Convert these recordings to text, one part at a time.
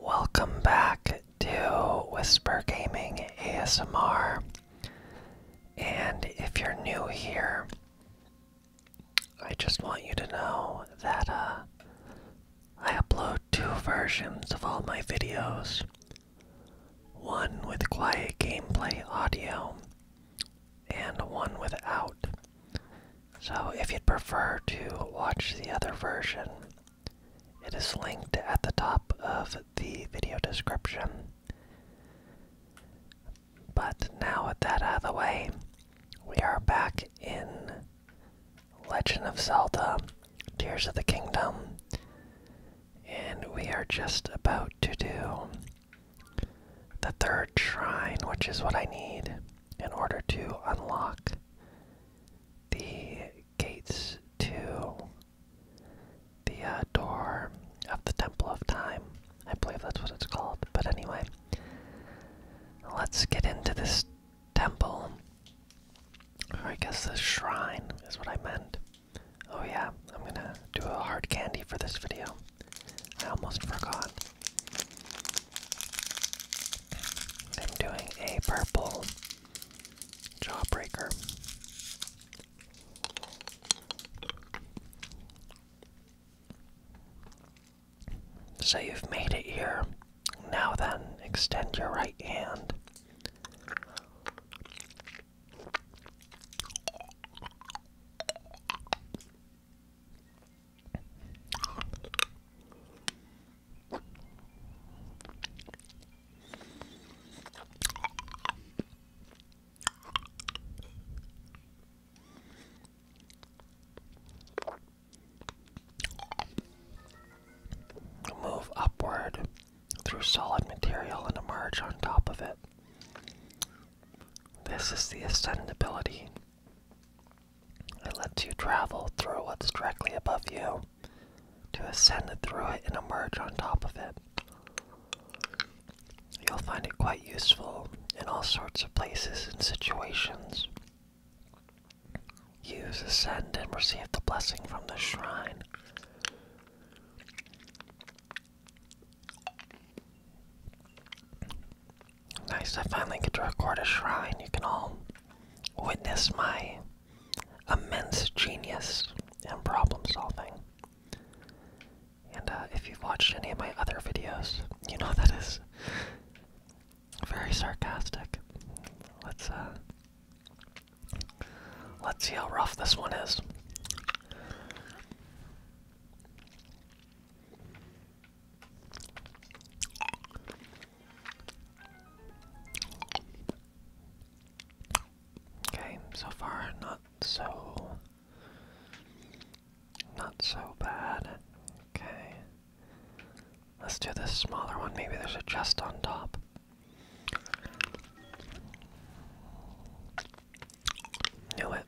Welcome back to Whisper Gaming ASMR. And if you're new here, I just want you to know that uh, I upload two versions of all my videos one with quiet gameplay audio, and one without. So, if you'd prefer to watch the other version, it is linked at the top of the video description. But now, with that out of the way, we are back in Legend of Zelda Tears of the Kingdom, and we are just about to do the third shrine, which is what I need in order to unlock the gates to the uh, door of the Temple of Time. I believe that's what it's called. But anyway, let's get into this temple. Or I guess the shrine is what I meant. Oh, yeah, I'm gonna do a hard candy for this video. I almost forgot. I'm doing a purple jawbreaker. So you've made it here. Now then, extend your right hand. Move upward through solid material and emerge on top of it. This is the ascendability it lets you travel through what's directly above you to ascend through it and emerge on top of it. You'll find it quite useful in all sorts of places and situations. Use, ascend, and receive the blessing from the shrine. Nice, I finally get to record a shrine. You can all witness my immense genius and problem solving. And uh, if you've watched any of my other videos, you know that is very sarcastic. Let's uh, let's see how rough this one is. Okay, so far not so not so bad. Okay. Let's do this smaller one. Maybe there's a chest on top. Knew it.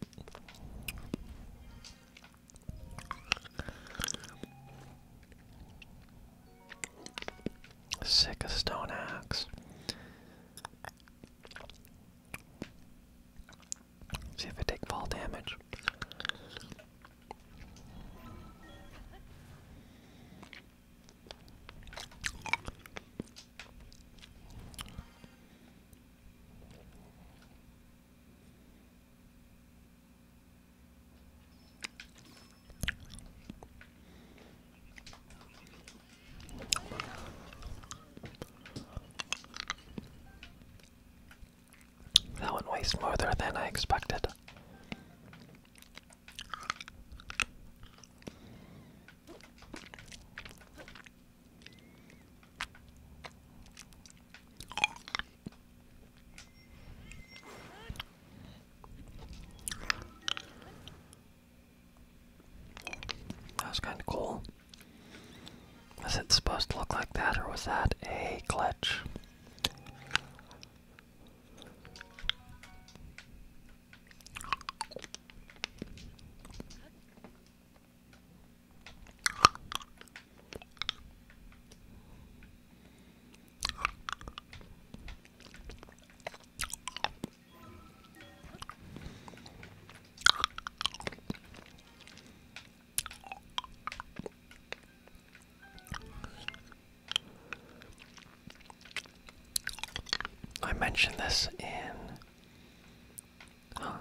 Sick of stone axe. See if I take fall damage. That one weighs more than I expected. That was kind of cool. Was it supposed to look like that, or was that a glitch? I mentioned this in Huh.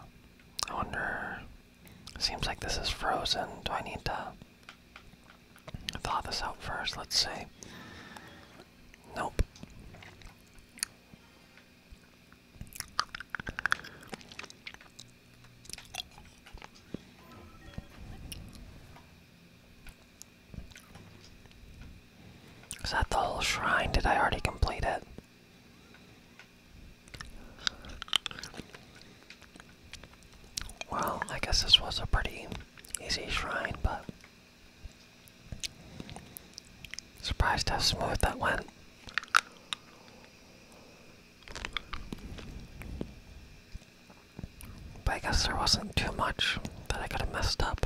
I wonder. Seems like this is frozen. Do I need to thaw this out first? Let's see. Nope. Is that the whole shrine? Did I already complete it? Well, I guess this was a pretty easy shrine, but surprised how smooth that went. But I guess there wasn't too much that I could have messed up.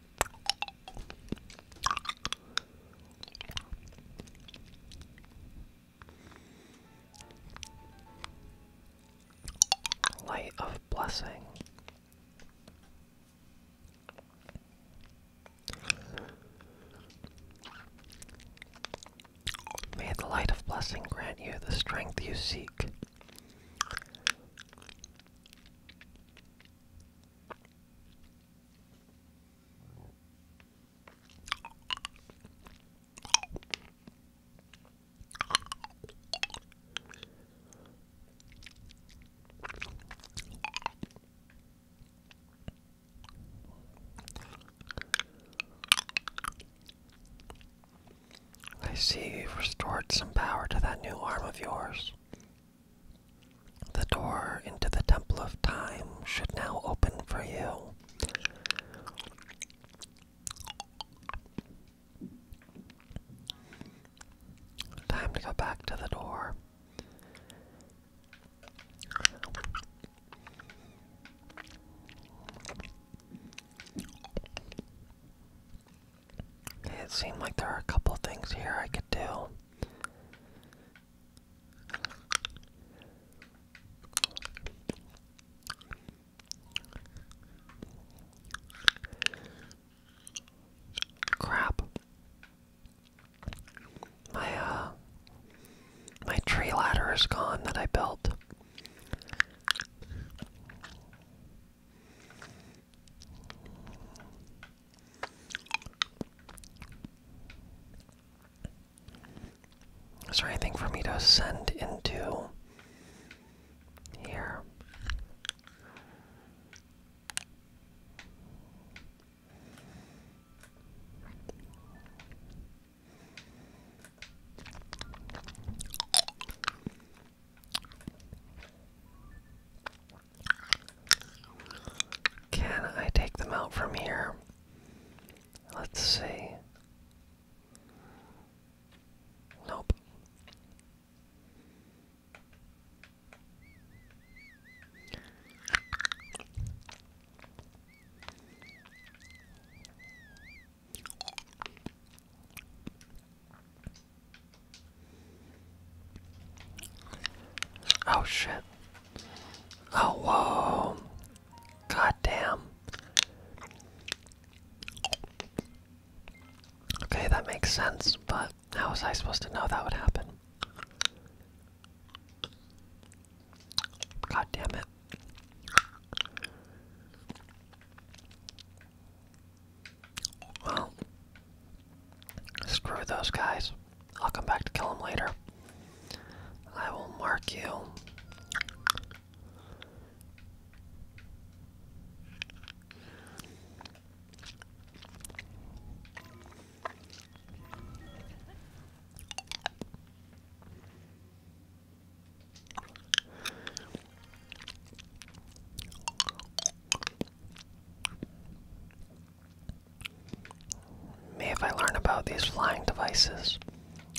Light of Blessing. May the light of blessing grant you the strength you seek. I see you've restored some power to that new arm of yours. The door into the Temple of Time should now open for you. Time to go back to the door. It seemed like there are a couple things here I could do. Crap. My uh, my tree ladder is gone that I built. Is there anything for me to send into here? Can I take them out from here? Let's see. Nope. Oh shit. Oh whoa. God damn. Okay, that makes sense, but how was I supposed to know that would happen? God damn it. Well, Screw those guys. I'll come back to kill them later. I will mark you. Maybe if I learn about these flying devices,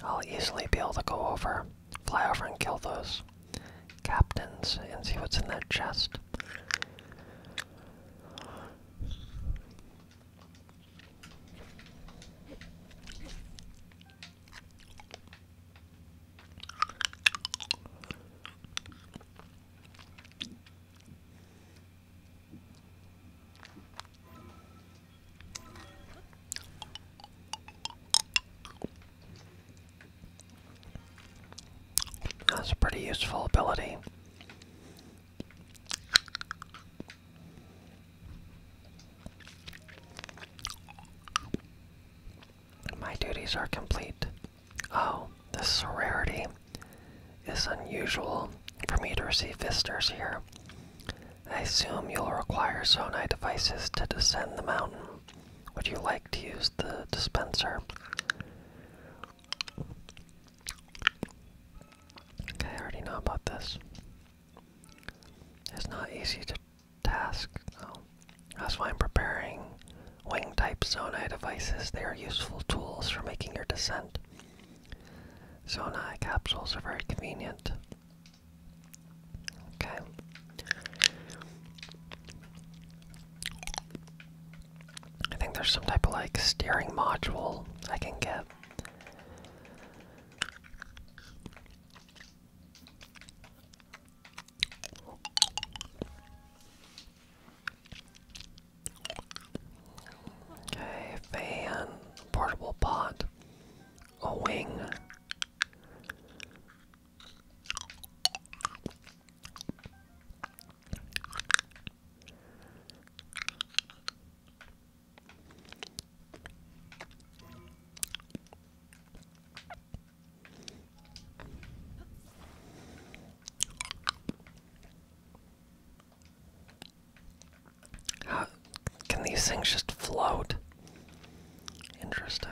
I'll easily be able to go over, fly over and kill those captains and see what's in that chest. That's a pretty useful ability. My duties are complete. Oh, this is a rarity. It's unusual for me to receive visitors here. I assume you'll require Zonai devices to descend the mountain. Would you like to use the dispenser? I already know about this. It's not easy to task, though. That's why I'm preparing wing type Zonai devices. They are useful tools for making your descent. Zona eye capsules are very convenient. Okay. I think there's some type of like steering module I can get. Okay, fan, portable pot, a wing. How can these things just float? Interesting.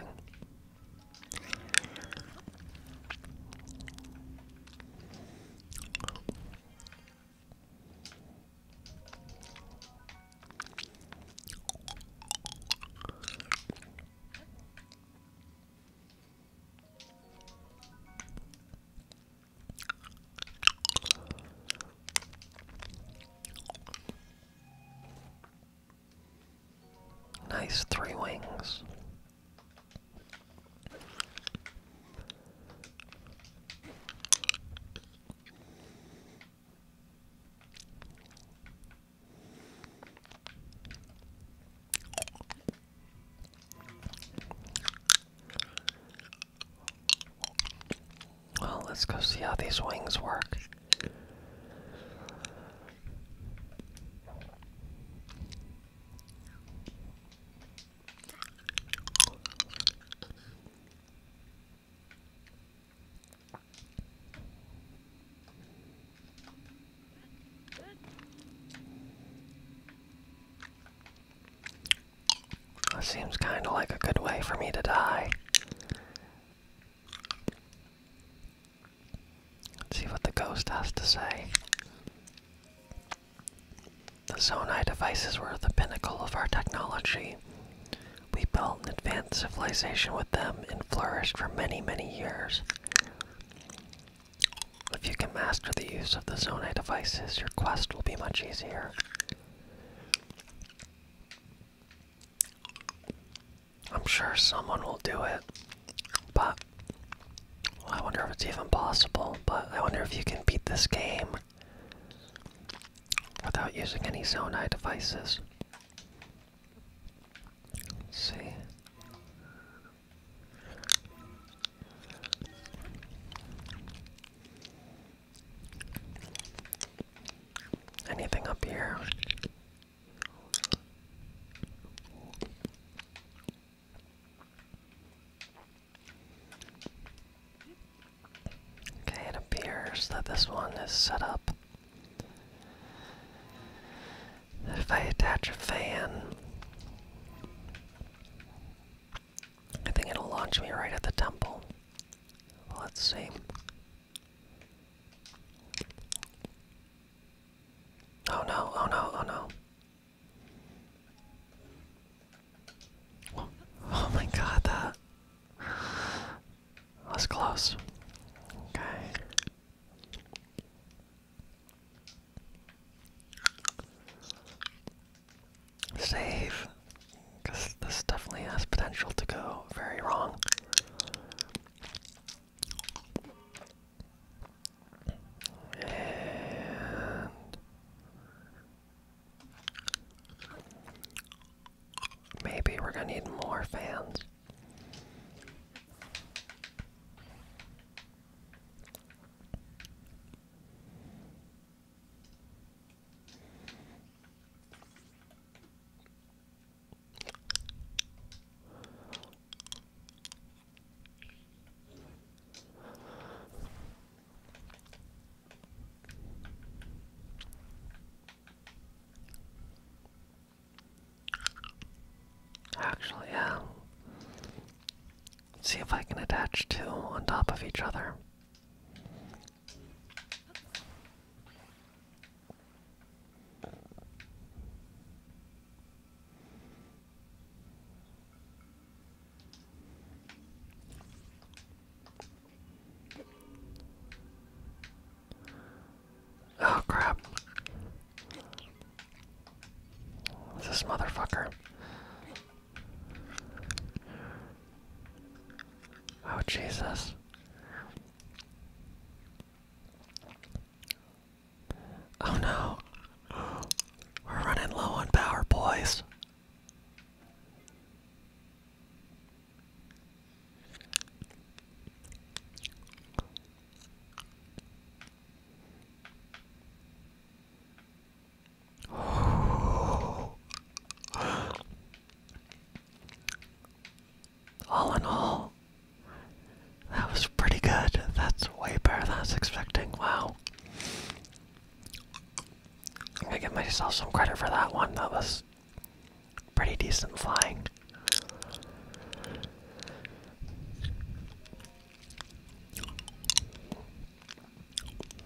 Nice three wings. Well, let's go see how these wings work. That seems kind of like a good way for me to die. see what the ghost has to say. The Zonai devices were the pinnacle of our technology. We built an advanced civilization with them and flourished for many, many years. If you can master the use of the Zone devices, your quest will be much easier. I'm sure someone will do it, but I wonder if it's even possible. But I wonder if you can beat this game without using any Zone devices. see. Anything up here? Okay, it appears that this one is set up. If I attach a fan, I think it'll launch me right at the temple. Let's see. Oh no, oh no, oh no. Oh, oh my god, that was close. Okay. Save, because this definitely has potential to go very wrong. And maybe we're gonna need more fans. Actually, yeah see if I can attach two on top of each other. Oh crap. This motherfucker. Oh, Jesus. Oh no. We're running low on power, boys. All in all, that was pretty good. That's way better than I was expecting. Wow. I'm gonna give myself some credit for that one. That was pretty decent flying.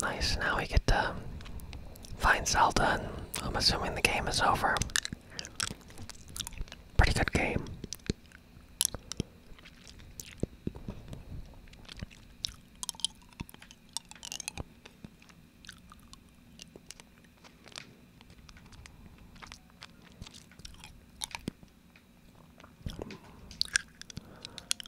Nice, now we get to find Zelda, and I'm assuming the game is over. Pretty good game.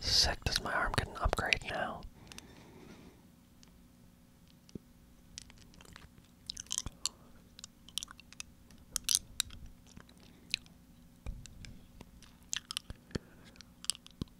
Sick, does my arm get an upgrade now?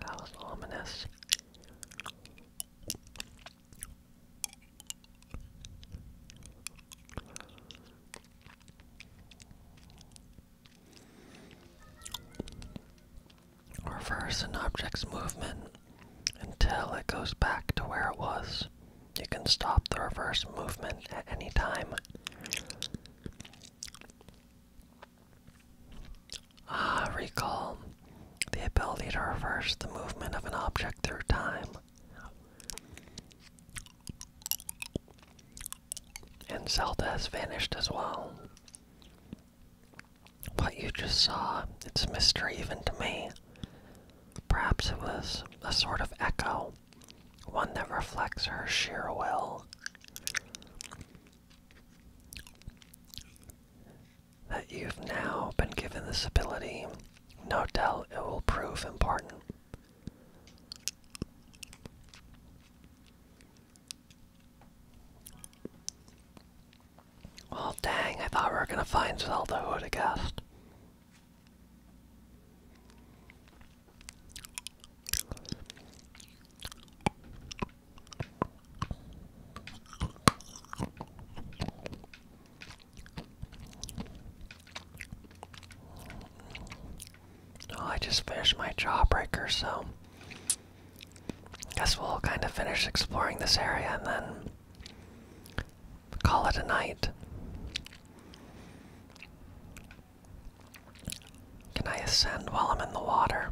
That was ominous. Reverse an object's movement until it goes back to where it was. You can stop the reverse movement at any time. Ah, recall. The ability to reverse the movement of an object through time. And Zelda has vanished as well. What you just saw, it's a mystery even to me. Perhaps it was a sort of echo one that reflects her sheer will. That you've now been given this ability, no doubt it will prove important. Well, dang, I thought we were gonna find Zelda, who would have guessed? Oh, I just finished my jawbreaker, so I guess we'll kind of finish exploring this area and then call it a night. Can I ascend while I'm in the water?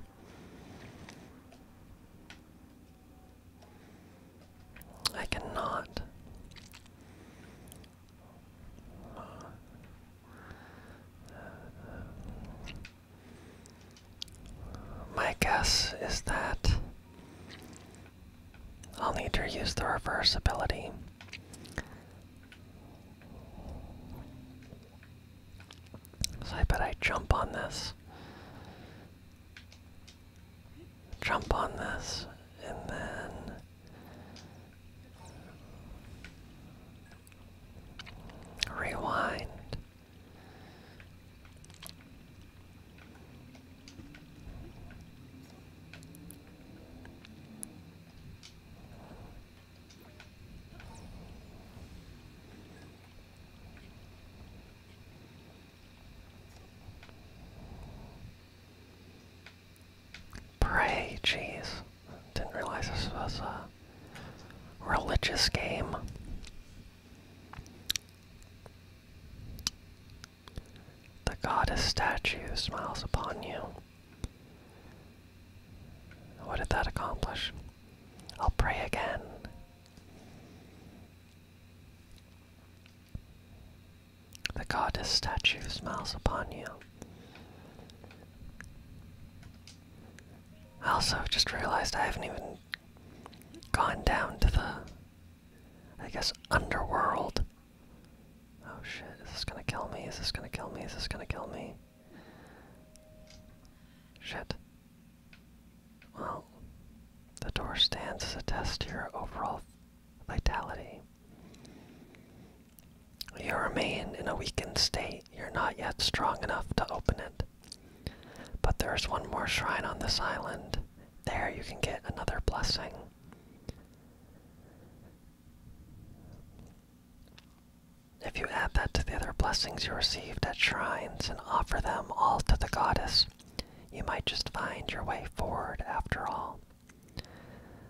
I cannot. My guess is that I'll need to use the reversibility. So I bet I jump on this. Jump on this, and then. Rewind. Pray, jeez. Didn't realize this was a religious game. The goddess statue smiles upon you. What did that accomplish? I'll pray again. The goddess statue smiles upon you. I also just realized I haven't even gone down to the, I guess, underworld. Oh shit, is this gonna kill me? Is this gonna kill me? Is this gonna kill me? Shit. Well, the door stands as a test to your overall vitality. You remain in a weakened state. You're not yet strong enough to open it. But there is one more shrine on this island. There you can get another blessing. If you add that to the other blessings you received at shrines and offer them all to the goddess, you might just find your way forward after all.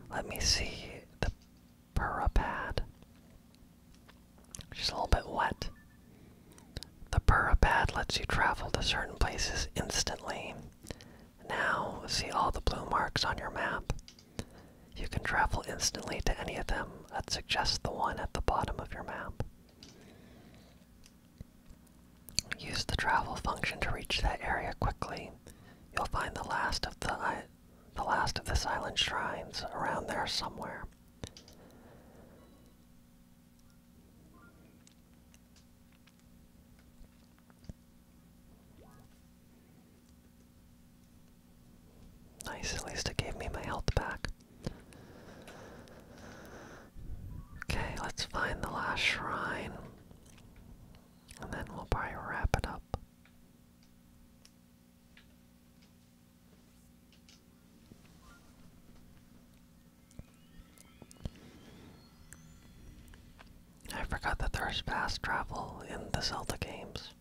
Let me see the pura purapad. She's a little bit wet. The pura pad lets you travel to certain places instantly. Now, see all the blue marks on your map. You can travel instantly to any of them. I'd suggest the one at the bottom of your map. Use the travel function to reach that area quickly. You'll find the last of the the last of the silent shrines around there somewhere. Nice, at least it gave me my health back. Okay, let's find the last shrine. And then we'll probably wrap it up. I forgot that there's fast travel in the Zelda games.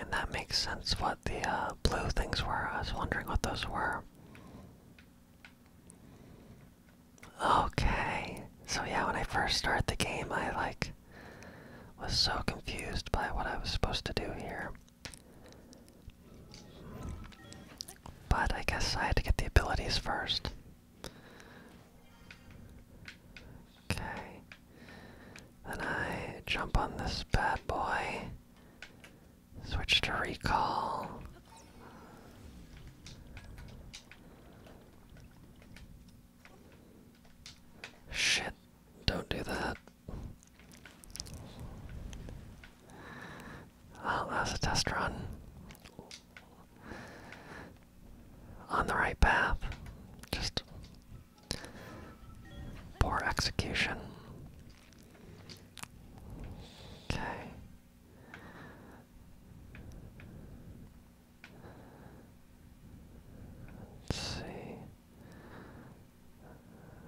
And that makes sense what the uh, blue things were. I was wondering what those were. Okay. So yeah, when I first started the game, I like was so confused by what I was supposed to do here. But I guess I had to get the abilities first. Okay. Then I jump on this bad boy. Switch to recall. Shit, don't do that. Well, that was a test run. On the right path. Just poor execution. Okay. Let's see.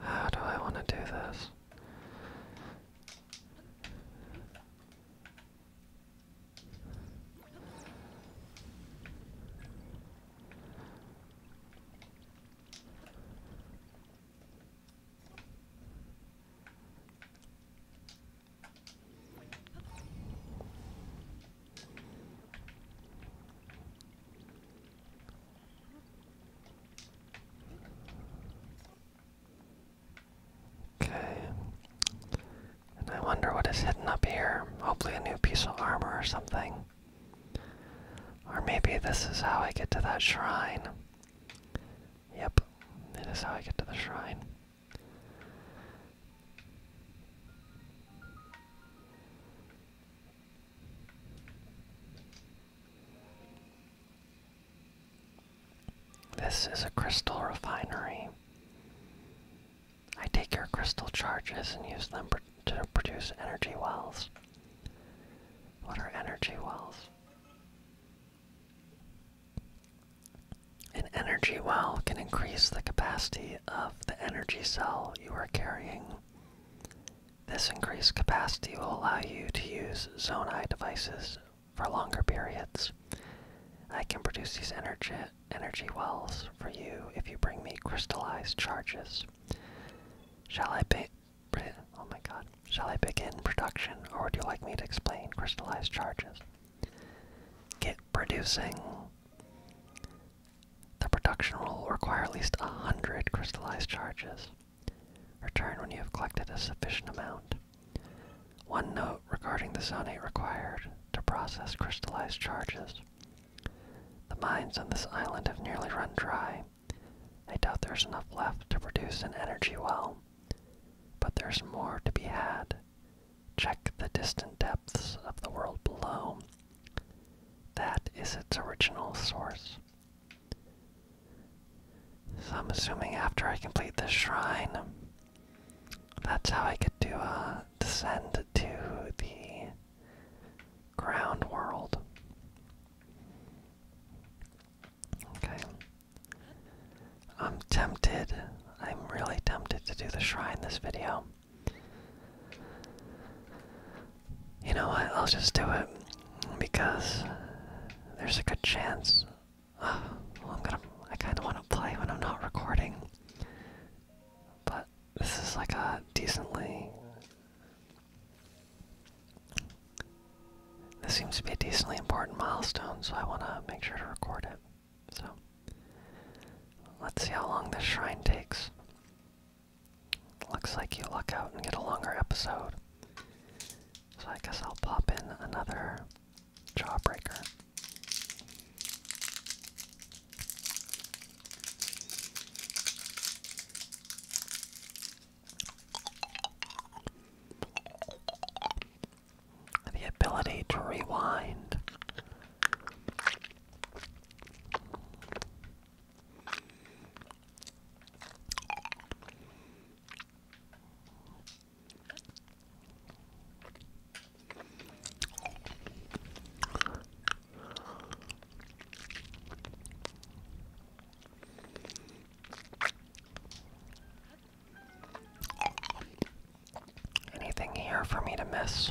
How do I want to do this? Okay. And I wonder what is hidden up here. Hopefully, a new piece of armor or something. Or maybe this is how I get to that shrine. Yep, this is how I get to the shrine. This is a crystal refinery. I take your crystal charges and use them to produce energy wells. What are energy wells? An energy well can increase the capacity of the energy cell you are carrying. This increased capacity will allow you to use Zonai devices for longer periods. I can produce these energy, energy wells for you if you bring me crystallized charges. Shall I be, oh my god. Shall I begin production or would you like me to explain crystallized charges? Get producing. The production will require at least 100 crystallized charges. Return when you have collected a sufficient amount. One note regarding the zonate required to process crystallized charges. The mines on this island have nearly run dry. I doubt there's enough left to produce an energy well, but there's more to be had. Check the distant depths of the world below. That is its original source. So I'm assuming after I complete the shrine, that's how I could do uh, descend to the ground world. Okay. I'm tempted. I'm really tempted to do the shrine this video you know what? I'll just do it because there's a good chance. Oh, I'm gonna. I kind of want to play when I'm not recording, but this is like a decently. This seems to be a decently important milestone, so I want to make sure to record it. So, let's see how long this shrine takes. Looks like you luck out and get a longer episode. So I guess I'll pop in another jawbreaker. The ability to rewind. Anything here for me to miss?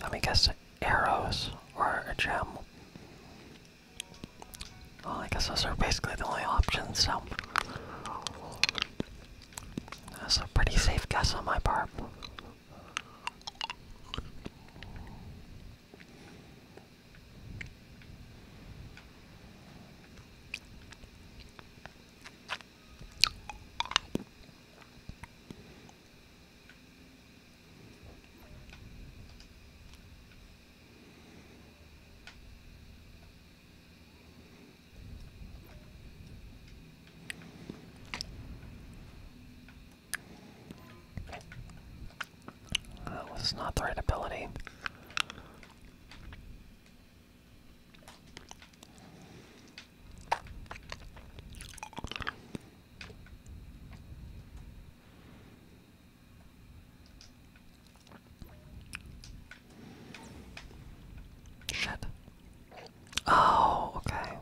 Let me guess arrows or a gem. Well, I guess those are basically the only options, so. That's a pretty safe guess on my part. Oh, that was not the right ability. Shit. Oh, okay.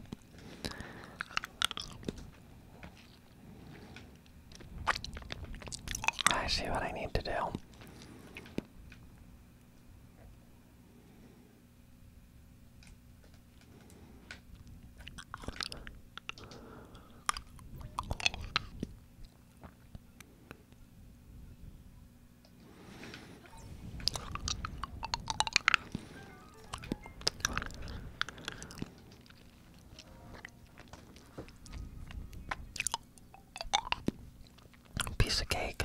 I see what I need to do. Piece of cake.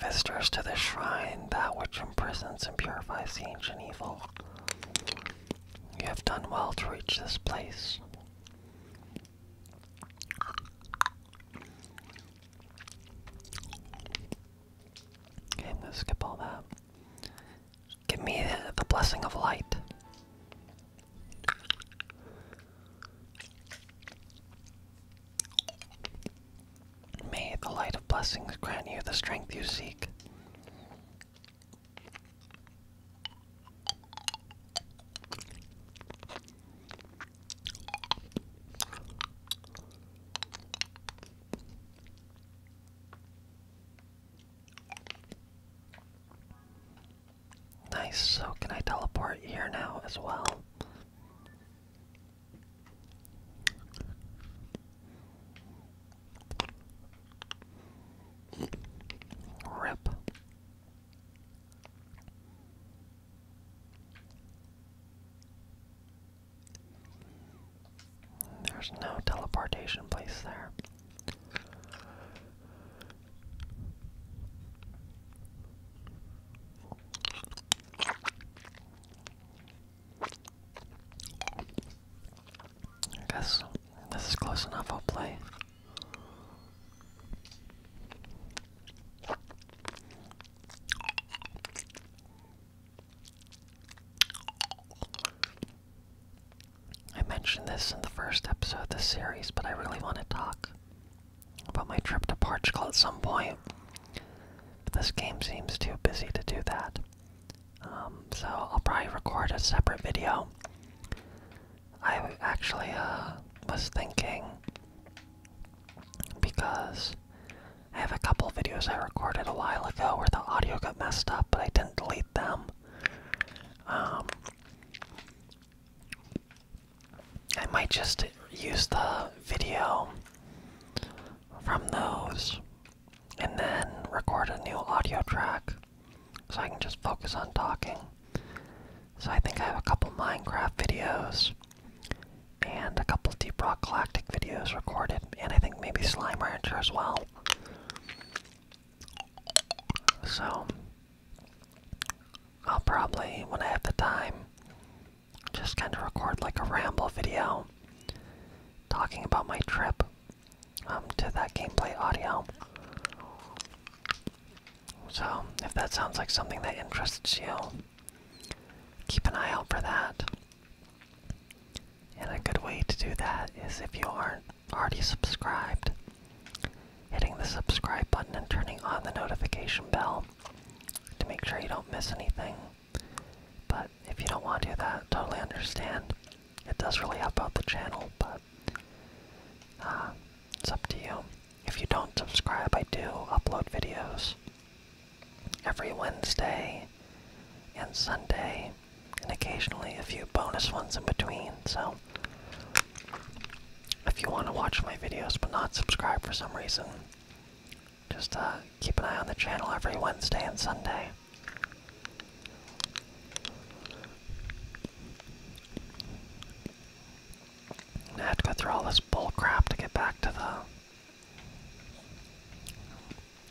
Visitors to the shrine, that which imprisons and purifies the ancient evil. You have done well to reach this place. Okay, I'm gonna skip all that. Give me the, the blessing of light. May the light of blessings grant you the strength you seek. Nice, so can I teleport here now as well? Rip. There's no teleportation place there. I guess this is close enough, I'll play. I mentioned this in the first episode of this series, but I really want to talk about my trip to Portugal at some point. this game seems too busy to do that. Um, so I'll probably record a separate video. I actually uh, was thinking because I have a couple videos I recorded a while ago where the audio got messed up, but I didn't delete them. Um, I might just use the video from those and then record a new audio track so I can just focus on talking. So I think I have a couple Minecraft videos and a couple Deep Rock Galactic videos recorded, and I think maybe Slime Rancher as well. So I'll probably, when I have the time, just kind of record like a ramble video talking about my trip um, to that gameplay audio. So, if that sounds like something that interests you, keep an eye out for that. And a good way to do that is if you aren't already subscribed, hitting the subscribe button and turning on the notification bell to make sure you don't miss anything. But if you don't want to do that, totally understand. It does really help out the channel, but uh, it's up to you. If you don't subscribe, I do upload videos every Wednesday and Sunday, and occasionally a few bonus ones in between. So, if you want to watch my videos but not subscribe for some reason, just uh, keep an eye on the channel every Wednesday and Sunday. I have to go through all this bull crap to get back to the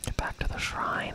get back to the shrine.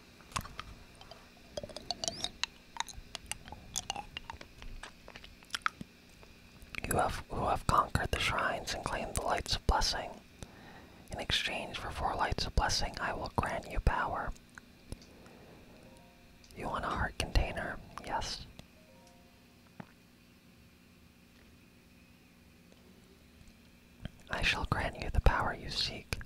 You have, who have conquered the shrines and claimed the lights of blessing. In exchange for four lights of blessing, I will grant you power. You want a heart container? Yes. I shall grant you the power you seek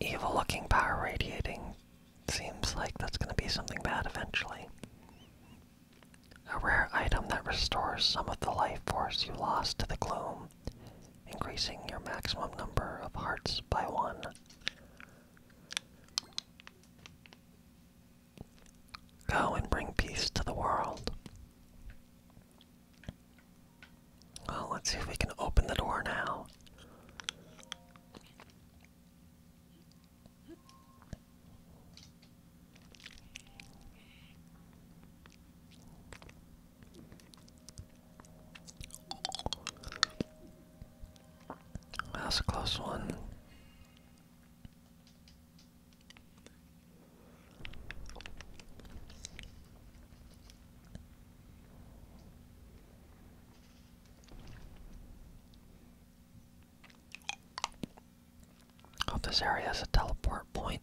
evil looking power radiating seems like that's going to be something bad eventually. A rare item that restores some of the life force you lost to the gloom increasing your maximum number of hearts by one. Go and bring peace to the world. Well, let's see if we can open the door now. That's a close one. Hope this area is a teleport point.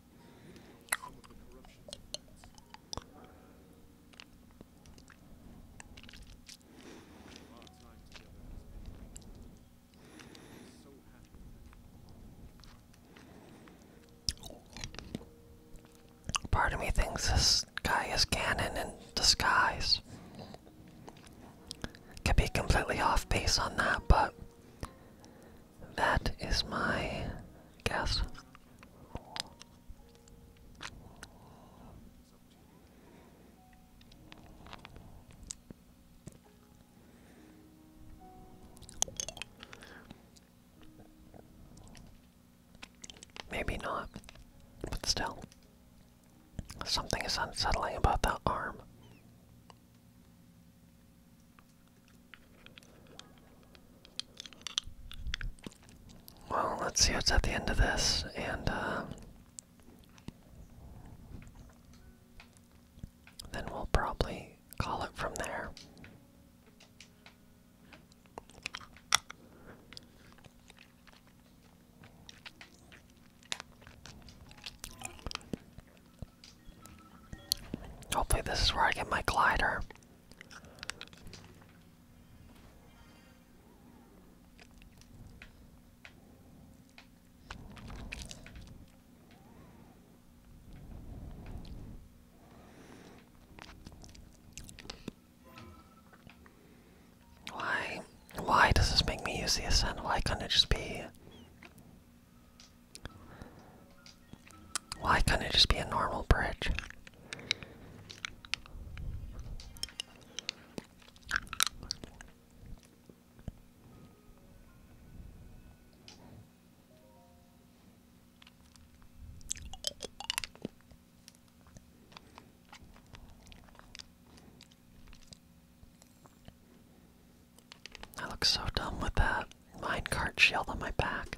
Part of me thinks this guy is canon in disguise. Could be completely off base on that, but that is my guess. Maybe not, but still. Something is unsettling about that arm. Well, let's see what's at the end of this, and uh, then we'll probably call it from there. Hopefully, this is where I get my glider. Why? Why does this make me use the ascent? Why can not it just be why couldn't it just be a normal bridge? I look so dumb with that minecart shield on my back.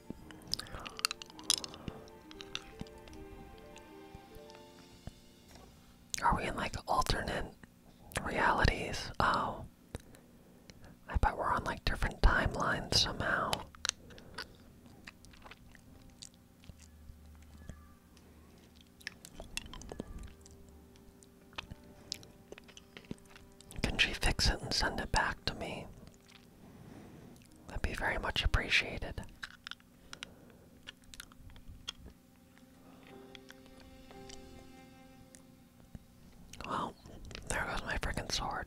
Are we in like alternate realities? Oh. I bet we're on like different timelines somehow. Can she fix it and send it back to me? That'd be very much appreciated. Well, there goes my freaking sword.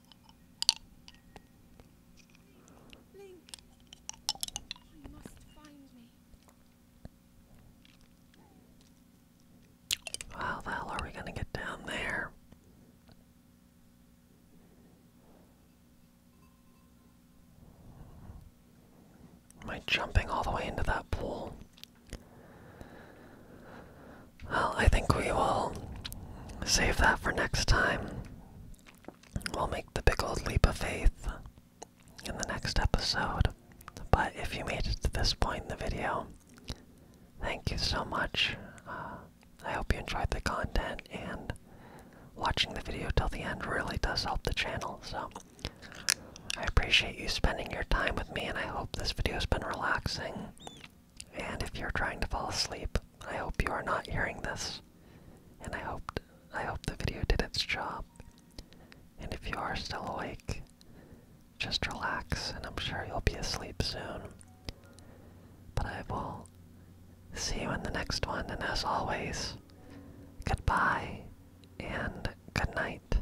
How the hell are we gonna get down there? Am I jumping all the way into that pool? Well, I think we will save that for next time. We'll make the big old leap of faith in the next episode. But if you made it to this point in the video, thank you so much. Uh, I hope you enjoyed the content, and watching the video till the end really does help the channel, so I appreciate you spending your time with me, and I hope this video's been relaxing and if you're trying to fall asleep, I hope you are not hearing this. And I hoped I hope the video did its job. And if you are still awake, just relax and I'm sure you'll be asleep soon. But I will see you in the next one and as always, goodbye and good night.